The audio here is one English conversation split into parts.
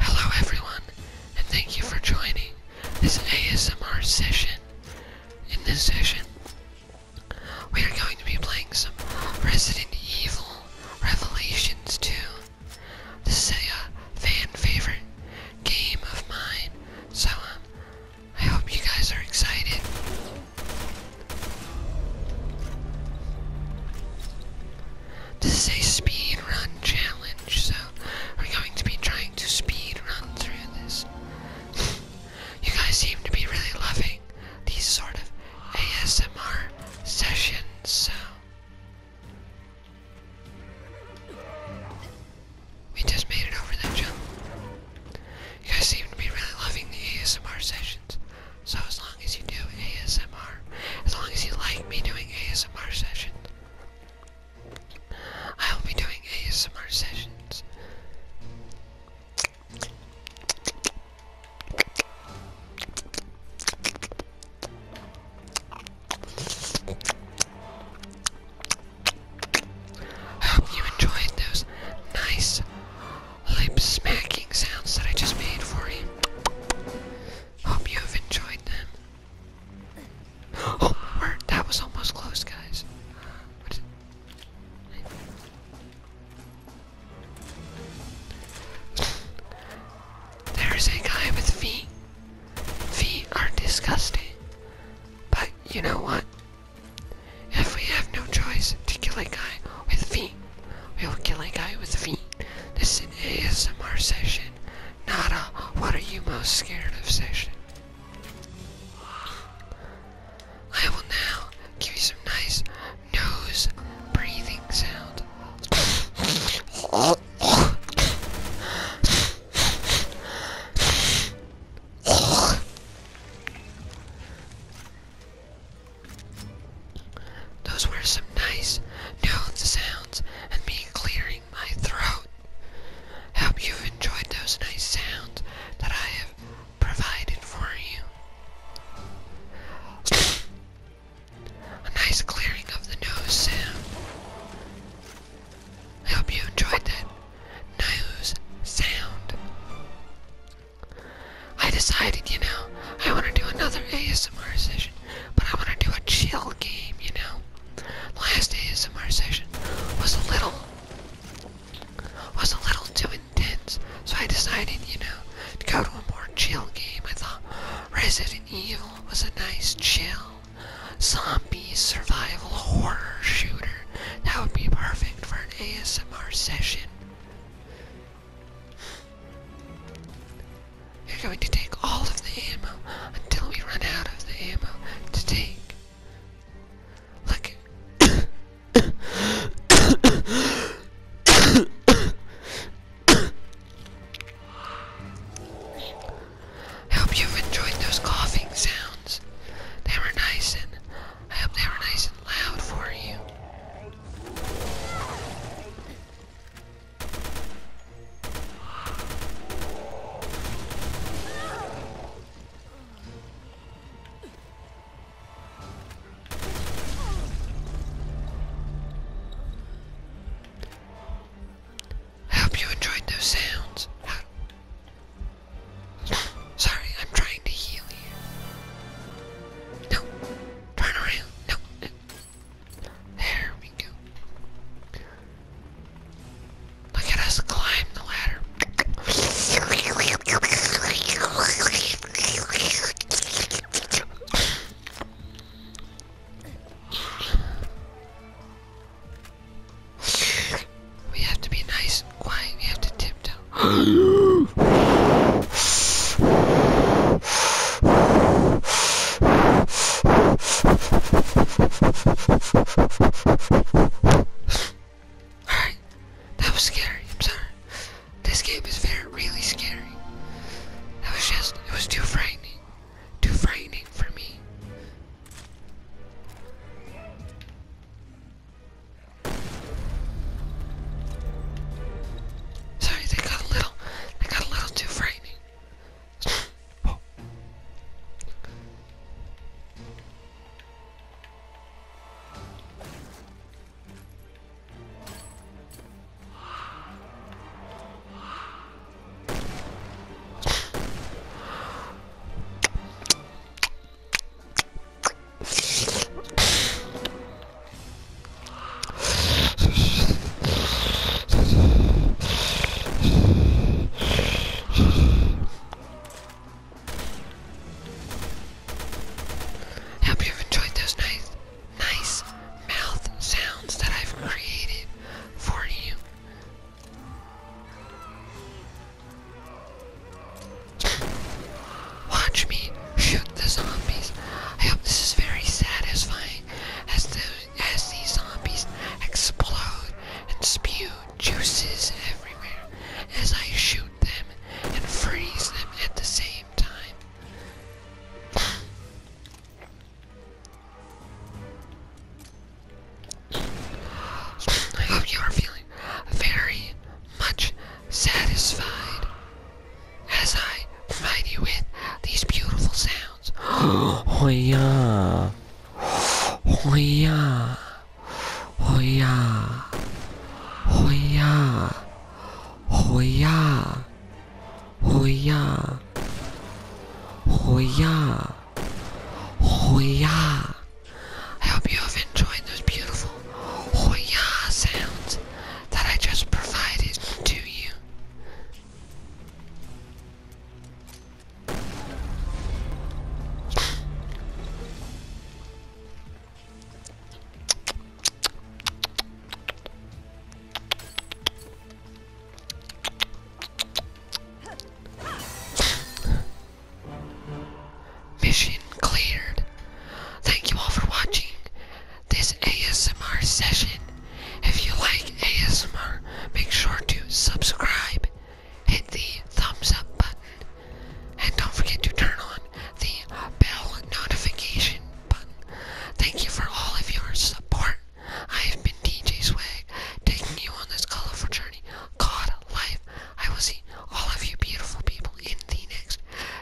Hello everyone, and thank you for joining this ASMR session. In this session, we are going to be playing some Resident Evil Revelations 2. This is a uh, fan favorite game of mine, so um, I hope you guys are excited. This is a speed run challenge, so we're going to be trying to speed run through this. you guys seem to be really loving these sort of ASMR sessions, so we just made it over that jump. You guys seem to be really loving the ASMR sessions. So as long as you do ASMR, as long as you like me doing ASMR sessions, I will be doing ASMR sessions. I hope you enjoyed those nice lip smacking sounds that I just made for you. Hope you have enjoyed them. Oh, that was almost close, guys. There's a guy with feet. Feet are disgusting. But you know what? If we have no choice to kill a guy with feet, we will kill a guy with feet. This is an ASMR session, Nada, what are you most scared of session. I will now give you some nice nose breathing sound. Those were some nice note sounds and me clearing my throat. Hope you enjoyed those nice sounds that I have provided for you. A nice clearing of the nose sound. I hope you enjoyed that nose sound. I decided, you know, I want to do another ASMR session, but I want to do a chill game, you know. Last ASMR session was a little was a little too intense, so I decided, you know, to go to a more chill game. I thought Resident Evil was a nice chill zombie survival horror shooter. That would be perfect for an ASMR session. You're going to take all of the ammo until we run out of the ammo to take. Look. I hope you've enjoyed those coughing sounds. They were nice and I hope they were nice and loud for you. I hope you enjoyed those sounds. Sorry, I'm trying to heal you. No, turn around. No, there we go. Look at us climb the ladder. We have to be nice and quiet. We have to tiptoe. Alright, that was scary, I'm sorry. This game is very, really scary. That was just, it was too frightening. Too frightening for me. Sorry, they got a little, they got a little too frightening. I hope you have enjoyed those nights nice mouth sounds that I've created for you. Watch me shoot the zombies. I hope this is very satisfying as the as these zombies explode and spew juices everywhere as I shoot them and freeze them at the same I hope you are feeling very much satisfied as I provide you with these beautiful sounds. oh yeah. Oh yeah. Hoya. Hoya. Hoya. Hoya. Hoya. Hoya. I hope you have enjoyed those beautiful Hoya sounds that I just provided to you. Mission cleared. Thank you all for watching this ASMR session. If you like ASMR, make sure to subscribe hit the thumbs up button, and don't forget to turn on the bell notification button. Thank you for all of your support. I have been DJ Swag, taking you on this colorful journey God, life. I will see all of you beautiful people in the next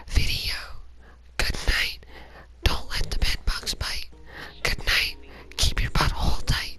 video. Good night. Don't let the bed bugs bite. Good night. Keep your butt all tight.